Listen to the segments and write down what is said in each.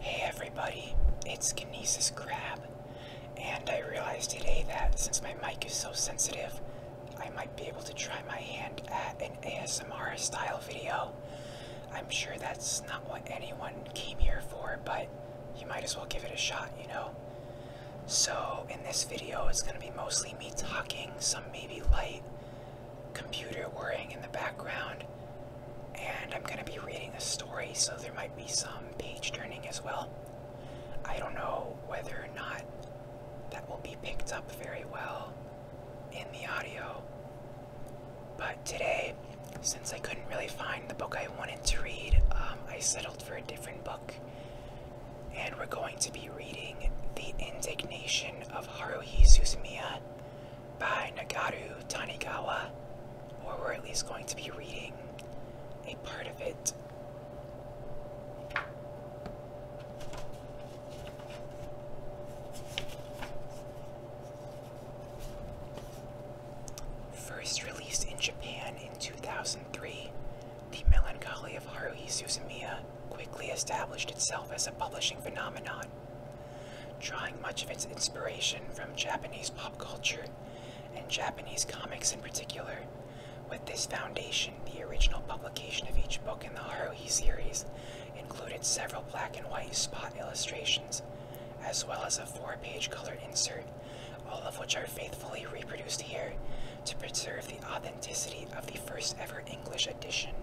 Hey everybody, it's Kinesis Crab, and I realized today that since my mic is so sensitive, I might be able to try my hand at an ASMR style video. I'm sure that's not what anyone came here for, but you might as well give it a shot, you know? So, in this video, it's gonna be mostly me talking, some maybe light, computer whirring in the background. And I'm going to be reading a story, so there might be some page turning as well. I don't know whether or not that will be picked up very well in the audio. But today, since I couldn't really find the book I wanted to read, um, I settled for a different book. And we're going to be reading The Indignation of Haruhi Suzumiya by Nagaru Tanigawa, or we're at least going to be reading a part of it. First released in Japan in 2003, The Melancholy of Haruhi Suzumiya quickly established itself as a publishing phenomenon, drawing much of its inspiration from Japanese pop culture and Japanese comics in particular. With this foundation, the original publication of each book in the Haruhi series included several black and white spot illustrations, as well as a four page color insert, all of which are faithfully reproduced here to preserve the authenticity of the first ever English edition.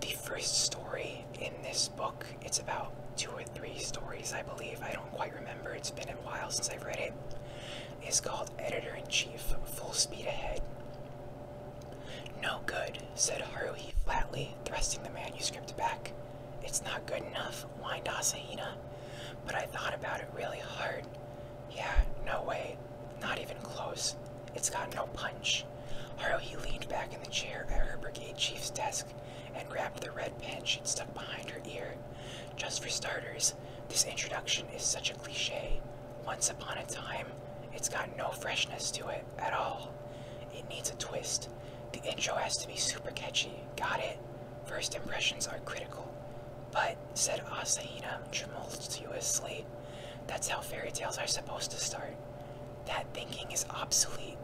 The first story in this book, it's about two or three stories, I believe. I don't quite remember. It's been a while since I've read It's called Editor in Chief Full Speed Ahead. No good, said Haruhi flatly, thrusting the manuscript back. It's not good enough, whined Asahina. But I thought about it really hard. Yeah, no way, not even close. It's got no punch. Harley leaned back in the chair at her brigade chief's desk and grabbed the red pen she'd stuck behind her ear. Just for starters, this introduction is such a cliche. Once upon a time, it's got no freshness to it at all. It needs a twist. The intro has to be super catchy, got it? First impressions are critical. But, said Asaina tumultuously, that's how fairy tales are supposed to start. That thinking is obsolete.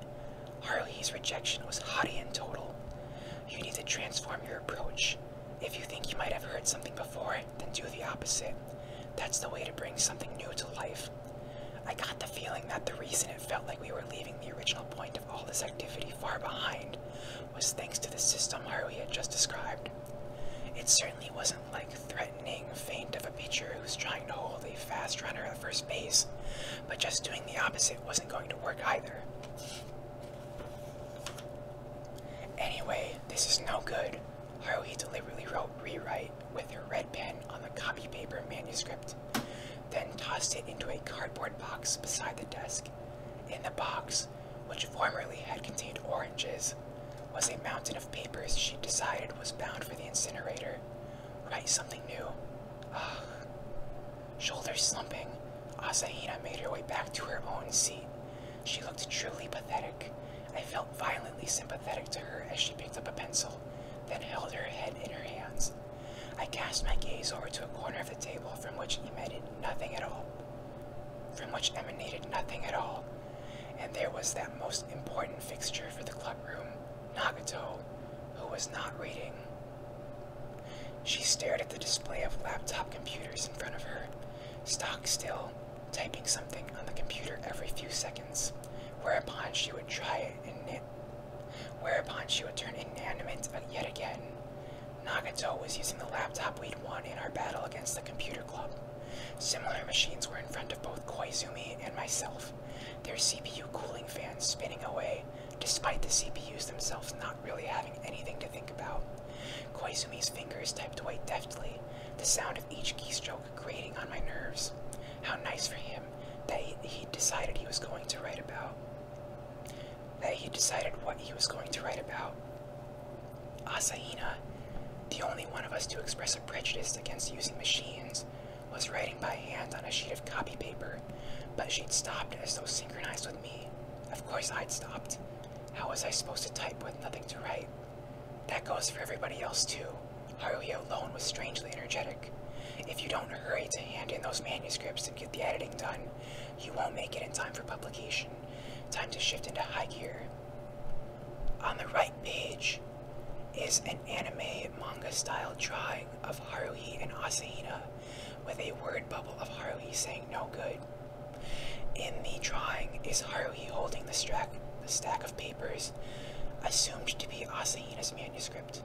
Harley's rejection was haughty and total. You need to transform your approach. If you think you might have heard something before, then do the opposite. That's the way to bring something new to life. I got the feeling that the reason it felt like we were leaving the original point of all this activity far behind was thanks to the system Harvey had just described. It certainly wasn't like threatening faint of a pitcher who's trying to hold a fast runner at first base, but just doing the opposite wasn't going to work either. Anyway, this is no good. Haruhi deliberately wrote rewrite with her red pen on the copy paper manuscript, then tossed it into a cardboard box beside the desk. In the box, which formerly had contained oranges, was a mountain of papers she decided was bound for the incinerator. Write something new. Ugh. Shoulders slumping, Asahina made her way back to her own seat. She looked truly pathetic. I felt violently sympathetic to her as she picked up a pencil, then held her head in her hands. I cast my gaze over to a corner of the table from which emitted nothing at all from which emanated nothing at all, and there was that most important fixture for the clubroom, Nagato, who was not reading. She stared at the display of laptop computers in front of her, stock still, typing something on the computer every few seconds, whereupon she would try it and knit, whereupon she would turn inanimate yet again, Nagato was using the laptop we'd won in our battle against the computer club. Similar machines were in front of both Koizumi and myself, their CPU cooling fans spinning away, despite the CPUs themselves not really having anything to think about. Koizumi's fingers typed away deftly, the sound of each keystroke grating on my nerves. How nice for him that he, he decided he was going to write about that he decided what he was going to write about. Asaina, the only one of us to express a prejudice against using machines, was writing by hand on a sheet of copy paper, but she'd stopped as though synchronized with me. Of course I'd stopped. How was I supposed to type with nothing to write? That goes for everybody else too. Haruhi alone was strangely energetic. If you don't hurry to hand in those manuscripts and get the editing done, you won't make it in time for publication. Time to shift into high gear. On the right page is an anime manga style drawing of Haruhi and Asahina with a word bubble of Haruhi saying no good. In the drawing is Haruhi holding the, strack, the stack of papers assumed to be Asahina's manuscript.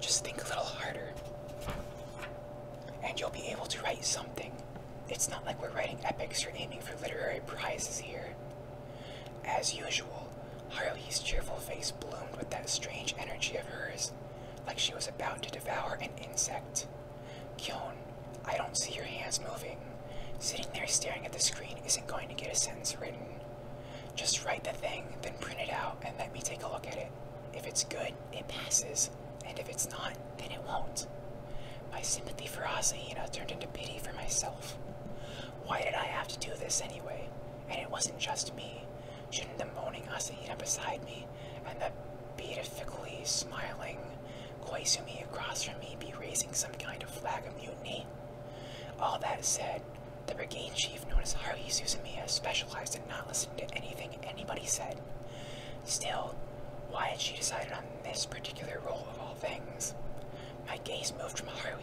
Just think a little harder. And you'll be able to write something. It's not like we're writing epics or aiming for literary prizes here. As usual, Harley's cheerful face bloomed with that strange energy of hers, like she was about to devour an insect. Kyon, I don't see your hands moving. Sitting there staring at the screen isn't going to get a sentence written. Just write the thing, then print it out, and let me take a look at it. If it's good, it passes, and if it's not, then it won't. My sympathy for Asaina turned into pity for myself. Why did I have to do this anyway? And it wasn't just me. Shouldn't the moaning Asaina beside me and the beatifically smiling Koizumi across from me be raising some kind of flag of mutiny? All that said, the brigade chief known as Haru Suzumiya specialized in not listening to anything anybody said. Still, why had she decided on this particular role of all things? My gaze moved from Haru,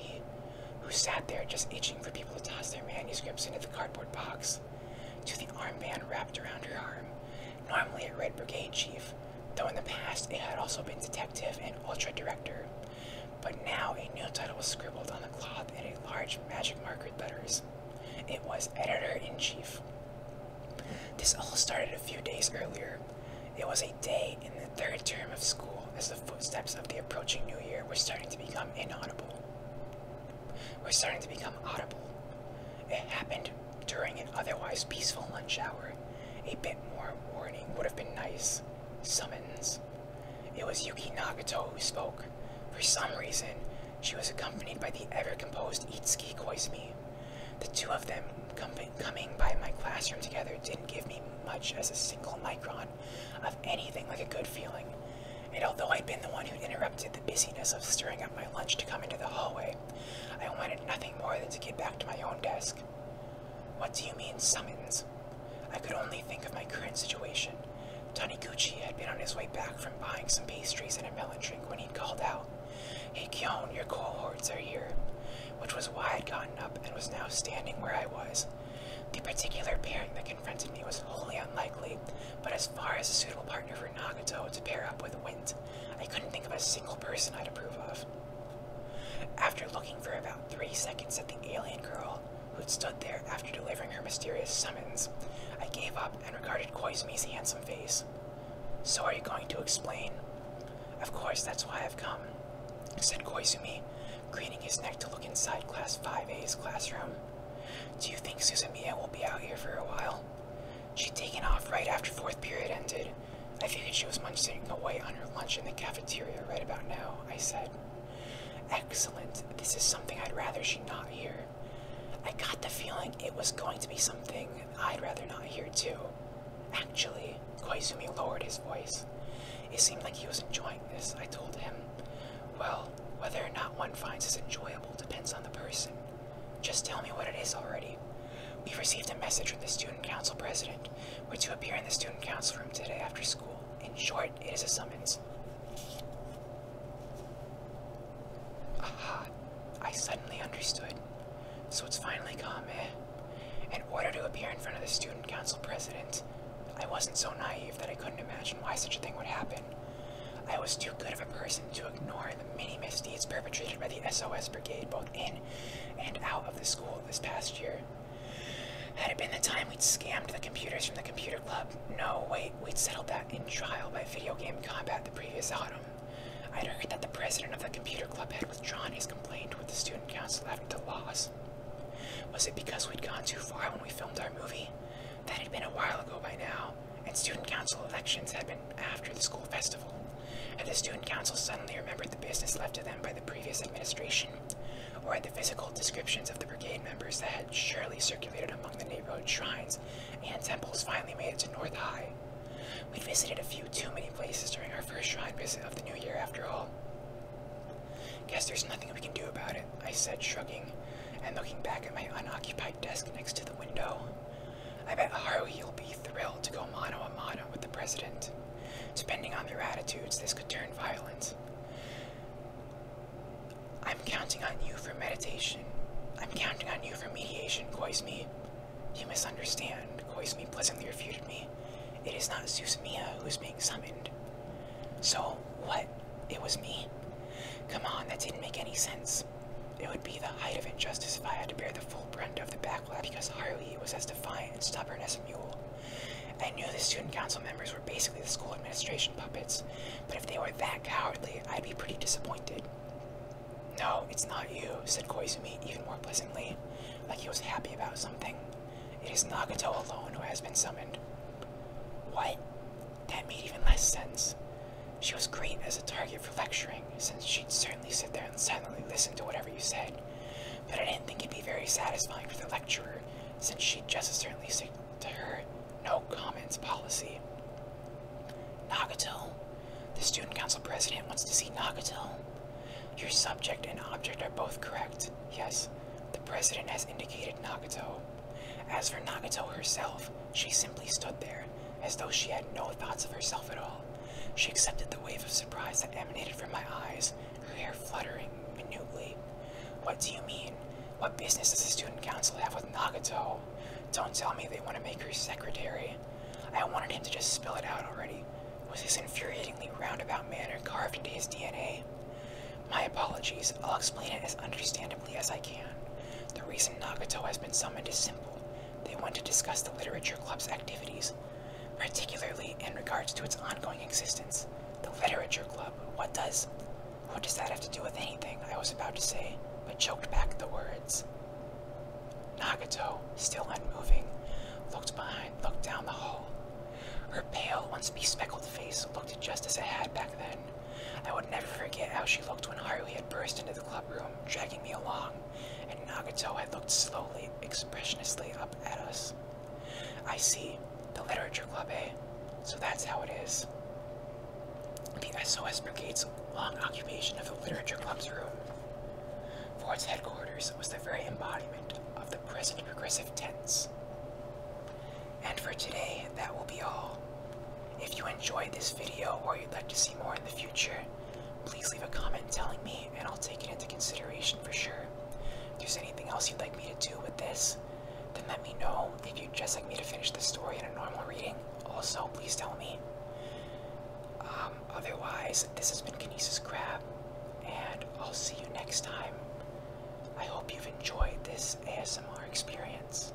who sat there just itching for people to toss their manuscripts into the cardboard box, to the armband wrapped around her arm, normally a Red Brigade chief, though in the past it had also been detective and ultra director. But now a new title was scribbled on the cloth in a large magic marker letters. It was Editor in Chief. This all started a few days earlier. It was a day in the third term of school as the footsteps of the approaching new year were starting to become inaudible. Were starting to become audible. It happened during an otherwise peaceful lunch hour. A bit more warning would have been nice. Summons. It was Yuki Nagato who spoke. For some reason, she was accompanied by the ever-composed Itsuki Koizumi. The two of them coming by my classroom together didn't give me much as a single micron of anything like a good feeling. And although I'd been the one who'd interrupted the busyness of stirring up my lunch to come into the hallway, I wanted nothing more than to get back to my own desk. What do you mean, summons? I could only think of my current situation. Taniguchi had been on his way back from buying some pastries and a melon drink when he called out, Hey Kyon, your cohorts are here, which was why I'd gotten up and was now standing where I was. The particular pairing that confronted me was wholly unlikely, but as far as a suitable partner for Nagato to pair up with went, I couldn't think of a single person I'd approve of. After looking for about three seconds at the alien girl who'd stood there after delivering her mysterious summons, I gave up and regarded Koizumi's handsome face. So are you going to explain? Of course, that's why I've come, said Koizumi, craning his neck to look inside Class 5A's classroom. Do you think Suzumiya will be out here for a while? She'd taken off right after fourth period ended, I figured she was munching away on her lunch in the cafeteria right about now, I said. Excellent. This is something I'd rather she not hear. I got the feeling it was going to be something I'd rather not hear, too. Actually, Koizumi lowered his voice. It seemed like he was enjoying this, I told him. Well, whether or not one finds it enjoyable depends on the person. Just tell me what it is already. We've received a message from the student council president concept were to appear in the student council room today after school. In short, it is a summons. Aha, I suddenly understood. So it's finally come, eh? In order to appear in front of the student council president. I wasn't so naive that I couldn't imagine why such a thing would happen. I was too good of a person to ignore the many misdeeds perpetrated by the SOS Brigade both in and out of the school this past year. Had it been the time we'd scammed the computers from the computer club, no, wait, we'd settled that in trial by video game combat the previous autumn. I'd heard that the president of the computer club had withdrawn his complaint with the student council after the loss. Was it because we'd gone too far when we filmed our movie? That had been a while ago by now, and student council elections had been after the school festival. Had the student council suddenly remembered the business left to them by the previous administration, or had the physical descriptions of the brigade members that had surely circulated among the neighborhood shrines and temples finally made it to North High? We'd visited a few too many places during our first shrine visit of the new year, after all. Guess there's nothing we can do about it, I said, shrugging, and looking back at my unoccupied desk next to the window. I bet Haru will be thrilled to go mano a mano with the president. Depending on their attitudes, this could turn violent. I'm counting on you for meditation. I'm counting on you for mediation, Koizmi. You misunderstand. Koizmi pleasantly refuted me. It is not Susumiya who is being summoned. So, what? It was me? Come on, that didn't make any sense. It would be the height of injustice if I had to bear the full brunt of the bad because Haruhi was as defiant and stubborn as a mule. I knew the student council members were basically the school administration puppets, but if they were that cowardly, I'd be pretty disappointed. No, it's not you, said Koizumi even more pleasantly, like he was happy about something. It is Nagato alone who has been summoned. What? That made even less sense. She was great as a target for lecturing, since she'd cer sit there and silently listen to whatever you said, but I didn't think it'd be very satisfying for the lecturer since she'd just as certainly stick to her no comments policy. Nagato, the student council president wants to see Nagato. Your subject and object are both correct. Yes, the president has indicated Nagato. As for Nagato herself, she simply stood there, as though she had no thoughts of herself at all. She accepted the wave of surprise that emanated from my eyes, her hair fluttering minutely. What do you mean? What business does the student council have with Nagato? Don't tell me they want to make her secretary. I wanted him to just spill it out already. Was this infuriatingly roundabout manner carved into his DNA? My apologies, I'll explain it as understandably as I can. The reason Nagato has been summoned is simple. They want to discuss the Literature Club's activities, particularly in regards to its ongoing existence. The Literature Club, what does what does that have to do with anything? I was about to say, but choked back the words. Nagato, still unmoving, looked behind, looked down the hall. Her pale, once bespeckled face looked just as it had back then. I would never forget how she looked when Harley had burst into the clubroom, dragging me along and Nagato had looked slowly, expressionlessly up at us. I see, the literature club, eh? So that's how it is. The SOS Brigade's long occupation of the literature club's room. For its headquarters was the very embodiment of the present progressive tense. And for today, that will be all. If you enjoyed this video or you'd like to see more in the future, Please leave a comment telling me, and I'll take it into consideration for sure. If there's anything else you'd like me to do with this, then let me know. If you'd just like me to finish the story in a normal reading, also please tell me. Um, otherwise, this has been Kinesis Crab, and I'll see you next time. I hope you've enjoyed this ASMR experience.